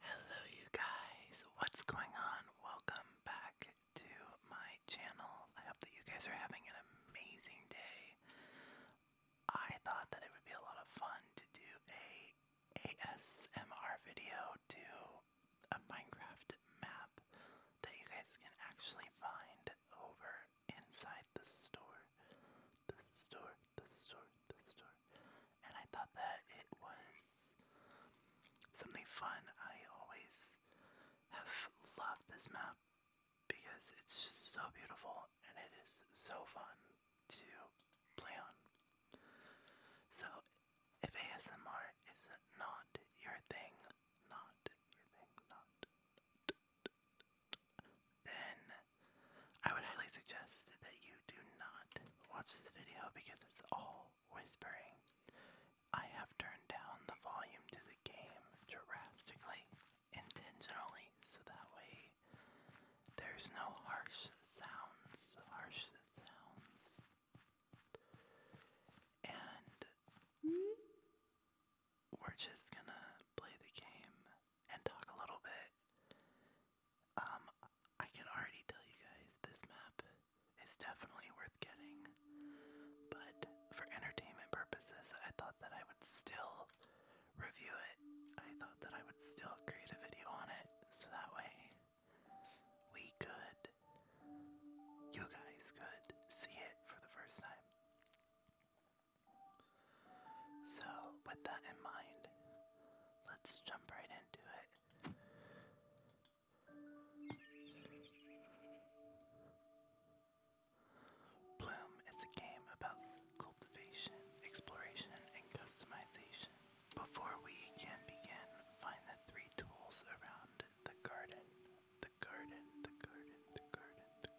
Hello, you guys. What's going on? Welcome back to my channel. I hope that you guys are having an amazing day. I thought that it would be a lot of fun to do a ASMR video to a Minecraft map that you guys can actually find over inside the store. The store, the store, store. And I thought that it was something fun. I always have loved this map because it's just so beautiful and it is so fun to play on. So, if ASMR is not your thing, not your thing, not, then I would highly suggest that you do not watch this video because it's all whispering. I have turned down the volume to the game drastically, intentionally, so that way there's no harsh sounds, harsh sounds. And we're just gonna play the game and talk a little bit um, I can already tell you guys this map is definitely worth getting, but for entertainment purposes, I thought that I would still review it. I thought that I would still create a video on it, so that way we could, you guys could see it for the first time. So, with that in mind, let's jump right into it. Bloom is a game about cultivation, exploration, and customization. Before we can begin, find the three tools around the garden. The garden, the garden, the garden, the garden.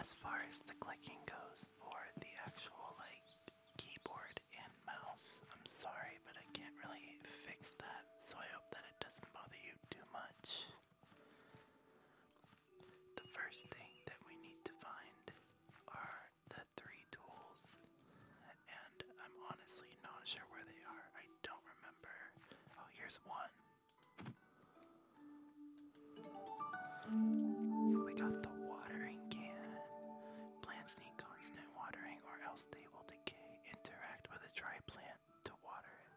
As far as the clicking goes for the actual like keyboard and mouse, I'm sorry, but I can't really fix that, so I hope that it doesn't bother you too much. The first thing that we need to find are the three tools, and I'm honestly not sure where they are. I don't remember. Oh, here's one. Oh, we got the watering can. Plants need constant watering or else they will decay. Interact with a dry plant to water it.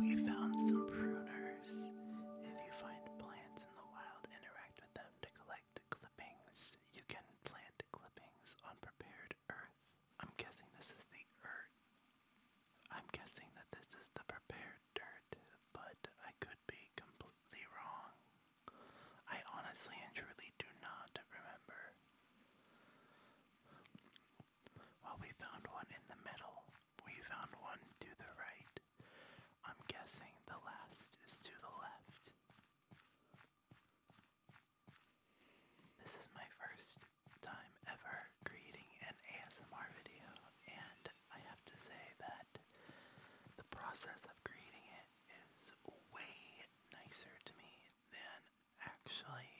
We found some pruners. If you find plants in the wild, interact with them to collect clippings. You can plant clippings on prepared earth. I'm guessing this is the earth. I'm guessing that this is the prepared dirt, but I could be completely wrong. I honestly and truly do not remember. Well, we found one in the middle. We found one to the right. I'm guessing the last is to the left. This is my first time ever creating an ASMR video, and I have to say that the process of creating it is way nicer to me than actually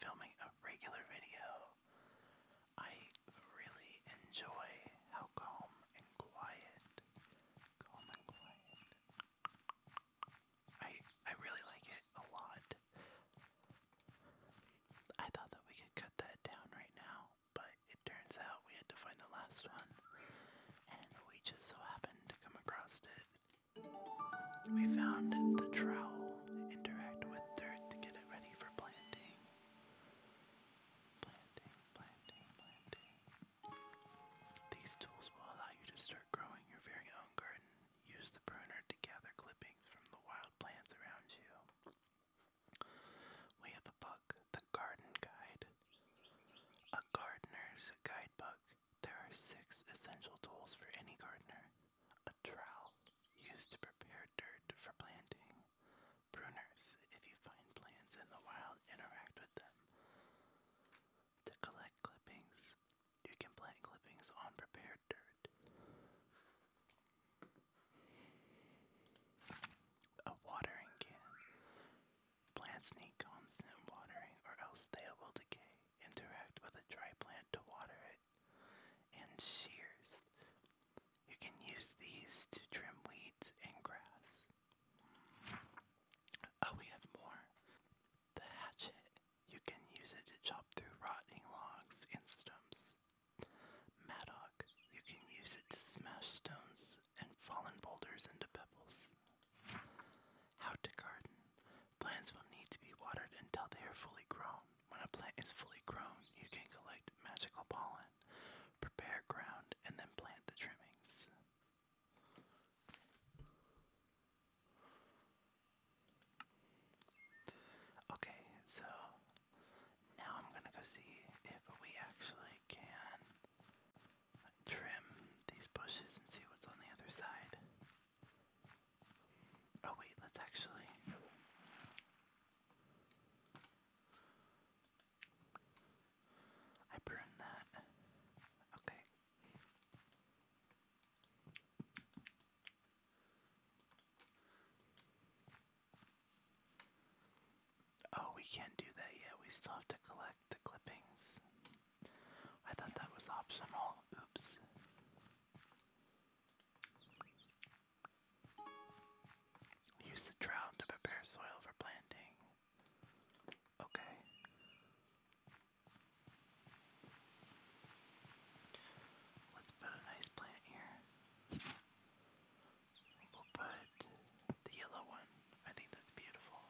filming a regular video I really enjoy how calm and quiet, calm and quiet. I I really like it a lot. I thought that we could cut that down right now, but it turns out we had to find the last one, and we just so happened to come across it. We found the trowel, interact with dirt to get it ready ready for planting. Planting, planting, planting. These tools will allow you to start growing your very own garden. Use the pruner to gather clippings from the wild plants around you. We have a book, The Garden Guide. A gardener's guidebook. There are six essential tools for any gardener. A trowel used to prepare dirt for planting. Pruners, if you find plants in the wild, interact with them. To collect clippings, you can plant clippings on prepared dirt. A watering can. Plants need constant watering or else they will decay. Interact with a dry plant to water it and shears. You can use these to trim weeds and grass. Oh, we have more. The hatchet. You can use it to chop through rotting logs and stumps. Mattock. You can use it to smash stones and fallen boulders into pebbles. How to garden. Plants will need to be watered until they are fully grown. When a plant is fully grown, you can collect magical pollen, prepare ground, and then plant the trimmings. Okay, so now I'm gonna go see if we actually can trim these bushes and see what's on the other side. Oh wait, that's actually. I burned that. Okay. Oh, we can't do that yet. We still have to collect the clippings. I thought that was optional. Oops. Use the trowel to prepare soil for planting. Okay. Let's put a nice plant here. We'll put the yellow one. I think that's beautiful.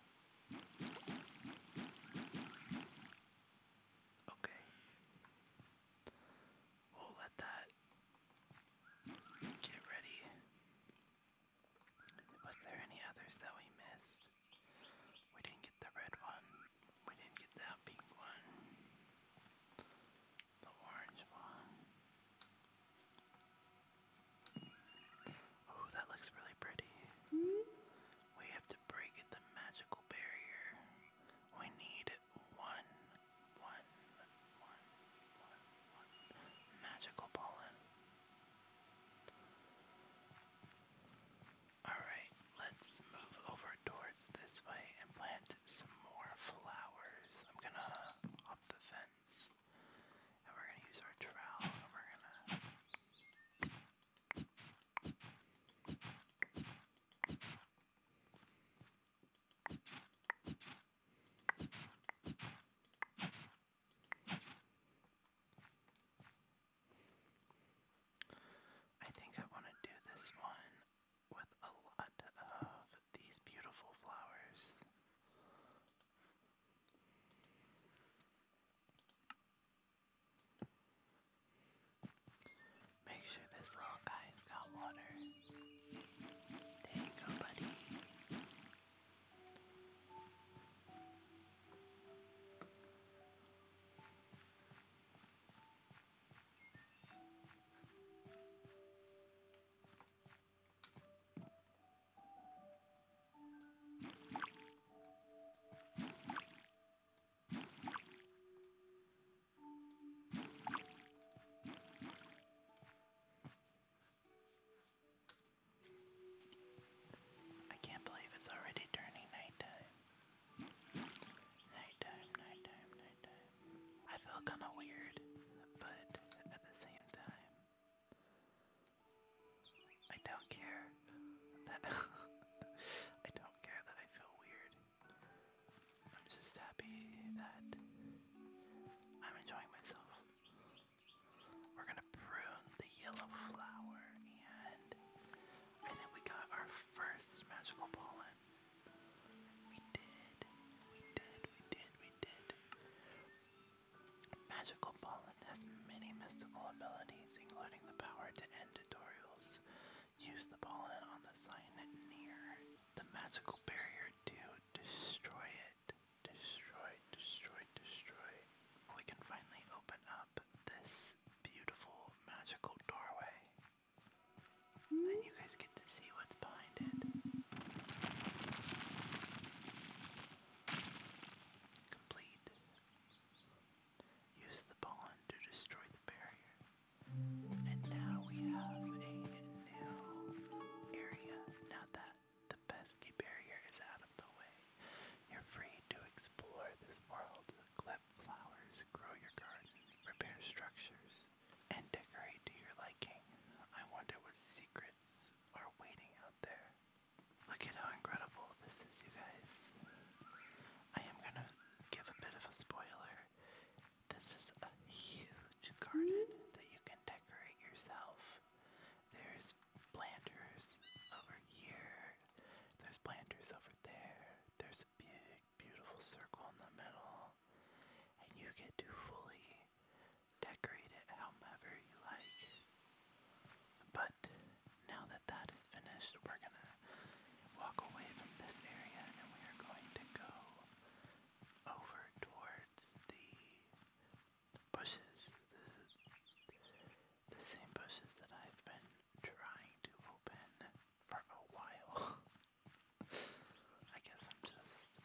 Okay. We'll let that get ready. Was there any others that we missed? We didn't get the red one. We didn't get that pink one. The orange one. Oh, that looks really pretty. Hmm? We have to break the magical barrier. We need one, one, one, one, one magical pollen. Alright, let's move over towards this way and plant some more flowers. I'm gonna up the fence and we're gonna use our trowel we're gonna. I think I want to do this one with a lot of these beautiful flowers. Make sure this little guy's got water. There you go, buddy. I can't believe it's already turning nighttime. Nighttime, nighttime, nighttime. I feel kinda weird, but at the same time, I don't care I don't care that I feel weird. I'm just happy that I'm enjoying myself. We're gonna prune the yellow flower, and I think we got our first magical pollen. We did, we did, we did, we did. Magical pollen has many mystical abilities, including the power to end tutorials, Use the pollen on the sign near the magical barrier to destroy it. Destroy, destroy, destroy. We can finally open up this beautiful magical doorway. And you guys get to see what's behind it. Complete. Use the pawn to destroy the barrier. And now we have a new area. Now that the pesky barrier is out of the way, you're free to explore this world, collect flowers, grow your garden, repair structures, and decorate to your liking. I wonder what secrets are waiting out there. Look at how incredible this is, you guys. I am gonna give a bit of a spoiler. This is a huge garden that you can decorate yourself. There's planters over here. There's planters over there. There's a big, beautiful circle in the middle. And you get to fully decorate it however you like. But now that that is finished, we're gonna walk away from this area and we are going to go over towards the bushes. The, same bushes that I've been trying to open for a while. I guess I'm just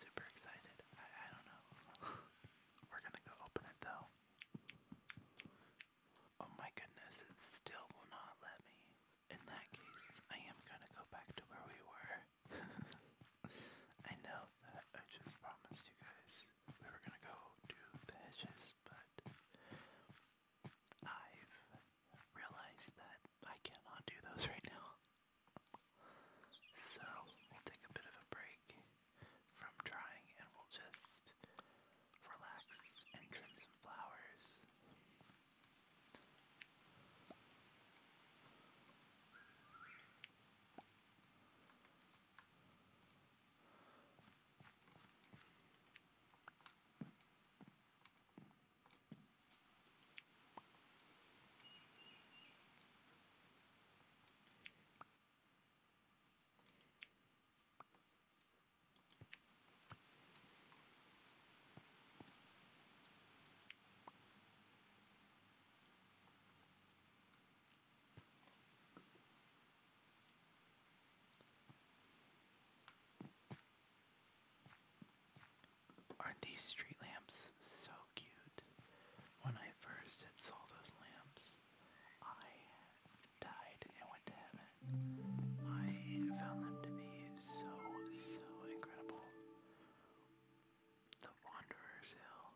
super excited. I don't know. We're gonna go open it though. Oh my goodness, it still will not let me. In that case, I am gonna go back to where we were. I know that I just promised you guys we were gonna go to the hedges, but I've realized that I cannot do those right now. So we'll take a bit of a break from drying and we'll just relax and trim some flowers. Aren't these street lamps so cute? When I first saw those lamps, I died and went to heaven. I found them to be so, so incredible. The Wanderer's Hill.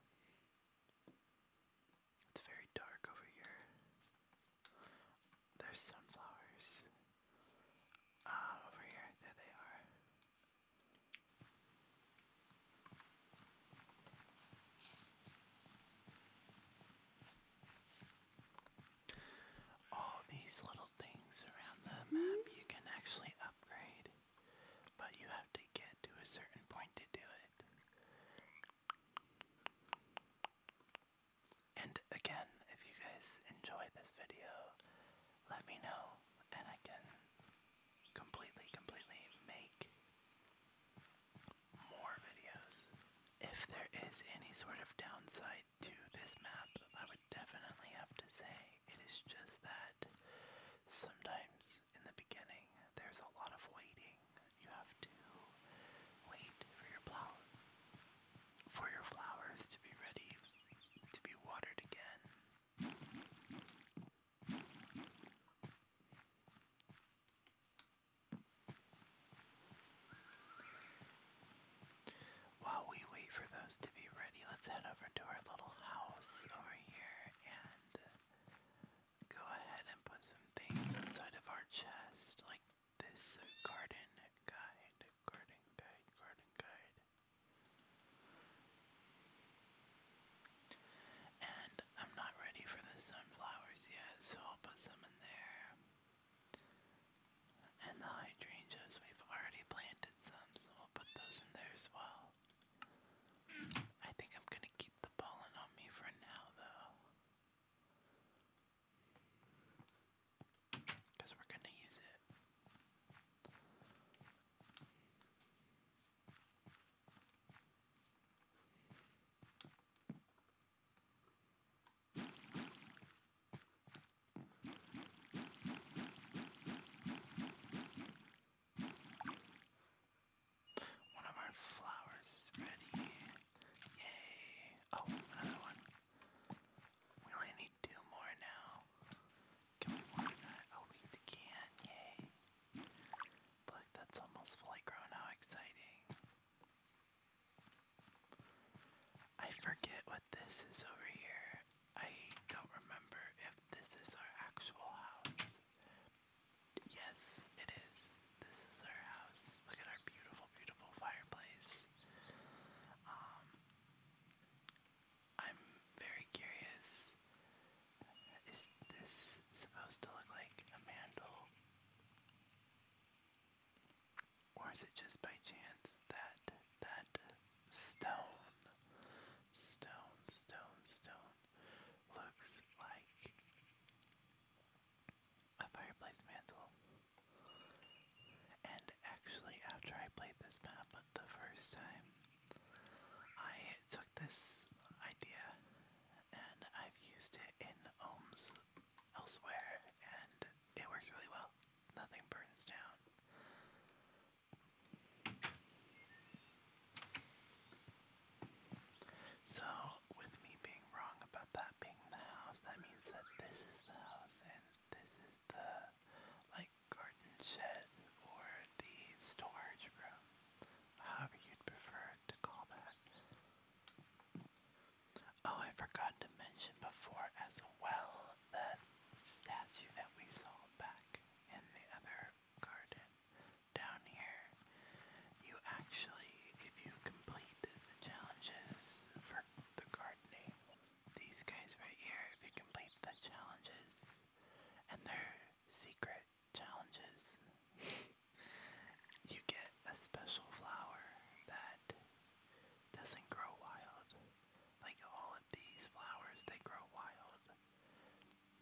It's very dark over here. There's sunflowers. Ah, over here. There they are. All these little things around the map you can actually upgrade, but you have to get to a certain point to do it. And again, if you guys enjoy this video, let me know and I can completely, completely make more videos. If there is any sort of downside to this map, I would definitely have to say it is just that sometimes in the beginning there's a lot of waiting. You have to wait for your plow for your flowers to be ready to be watered again. While we wait for those to be ready, let's head over to our little house over here and go ahead and put some things inside of our chest, like this garden guide, garden guide, garden guide. And I'm not ready for the sunflowers yet, so I'll put some in there. And the hydrangeas, we've already planted some, so we'll put those in there as well. I think I'm gonna keep the pollen on me for now, though. Because we're gonna use it. One of our flowers is ready. Yay! Oh, another one. We only need two more now. Can we water that? Oh, we can. Yay! Look, that's almost fully grown. How exciting! I forget what this is over here. I don't remember if this is our actual house. Yes, it is. This is our house. Look at our beautiful, beautiful fireplace. Um, I'm very curious. Is this supposed to look like a mantle? Or is it just by chance that that stone, stone, stone, stone looks like a fireplace mantle? And actually, after I played this map the first time, I took this idea and I've used it in homes elsewhere, and it works really well. Nothing burns down. So, with me being wrong about that being the house, that means that this is the house and this is the, like, garden shed or the storage room however you'd prefer to call that. Oh, I forgot to mention before as well that statue that we saw back in the other garden down here. You actually, if you complete the challenges for the gardening, these guys right here, if you complete the challenges and their secret challenges, you get a special flower that doesn't grow wild. Like all of these flowers, they grow wild.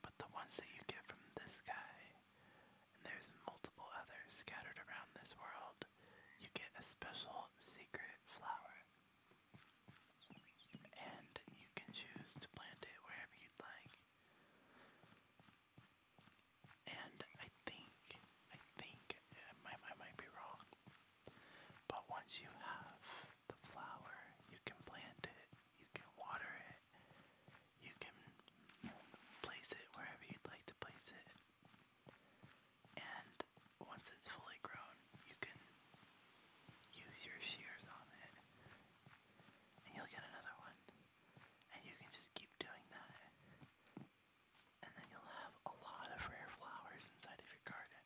But the ones that you get from this guy, and there's multiple others scattered around this world, you get a special secret flower. And you can choose to plant it wherever you'd like. And I think, I think, I, might be wrong, but once you have the flower, you can plant it, you can water it, you can place it wherever you'd like to place it. And once it's fully grown, you can use your shears on it, and you'll get another one. And you can just keep doing that. And then you'll have a lot of rare flowers inside of your garden.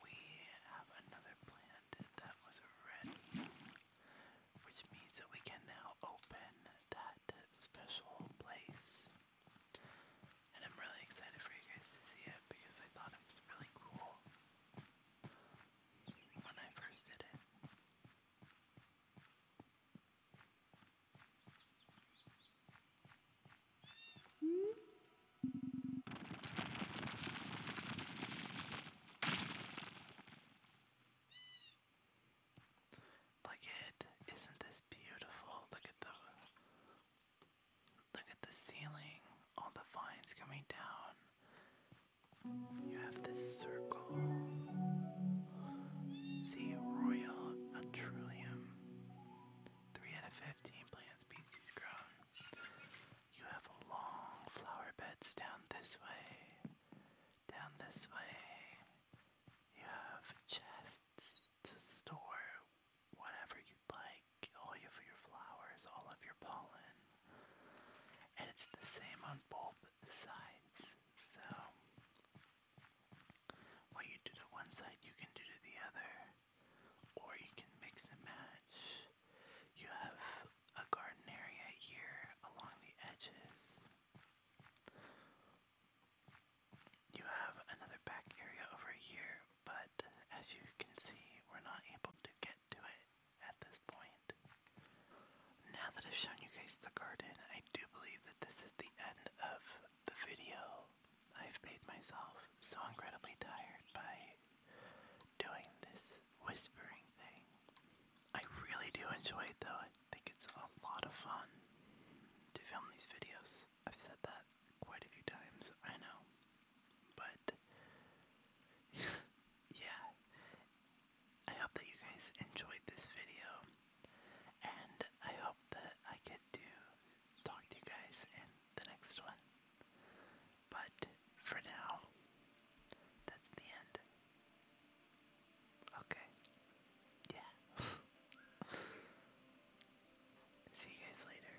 We have another plant that was red, which means that we can now open that special place. And I'm really excited for you guys to see it because I thought it was really cool when I it. Isn't this beautiful? Look at the look at the ceiling, all the vines coming down. You have this circle. See Royal Atrillium. 3 out of 15 plant species grown. You have long flower beds down this way. Down this way. You have chests to store whatever you'd like all of your flowers, all of your pollen. And it's the same on both sides. So, what you do to one side, you can do to the other. Or you can mix and match. You have a garden area here along the edges. You have another back area over here, but as you can see, we're not able to get get it at this point. Now that I've shown you guys the garden, I do believe that this is the end of the video. I've made myself so incredibly tired by doing this whispering thing. I really do enjoy it though. I think it's a lot of fun to film these videos. I've said that quite a few times, I know. But yeah, I hope that you guys enjoyed this video, and I hope that I get to talk to you guys in the next one. But for now, that's the end. Okay. Yeah. See you guys later.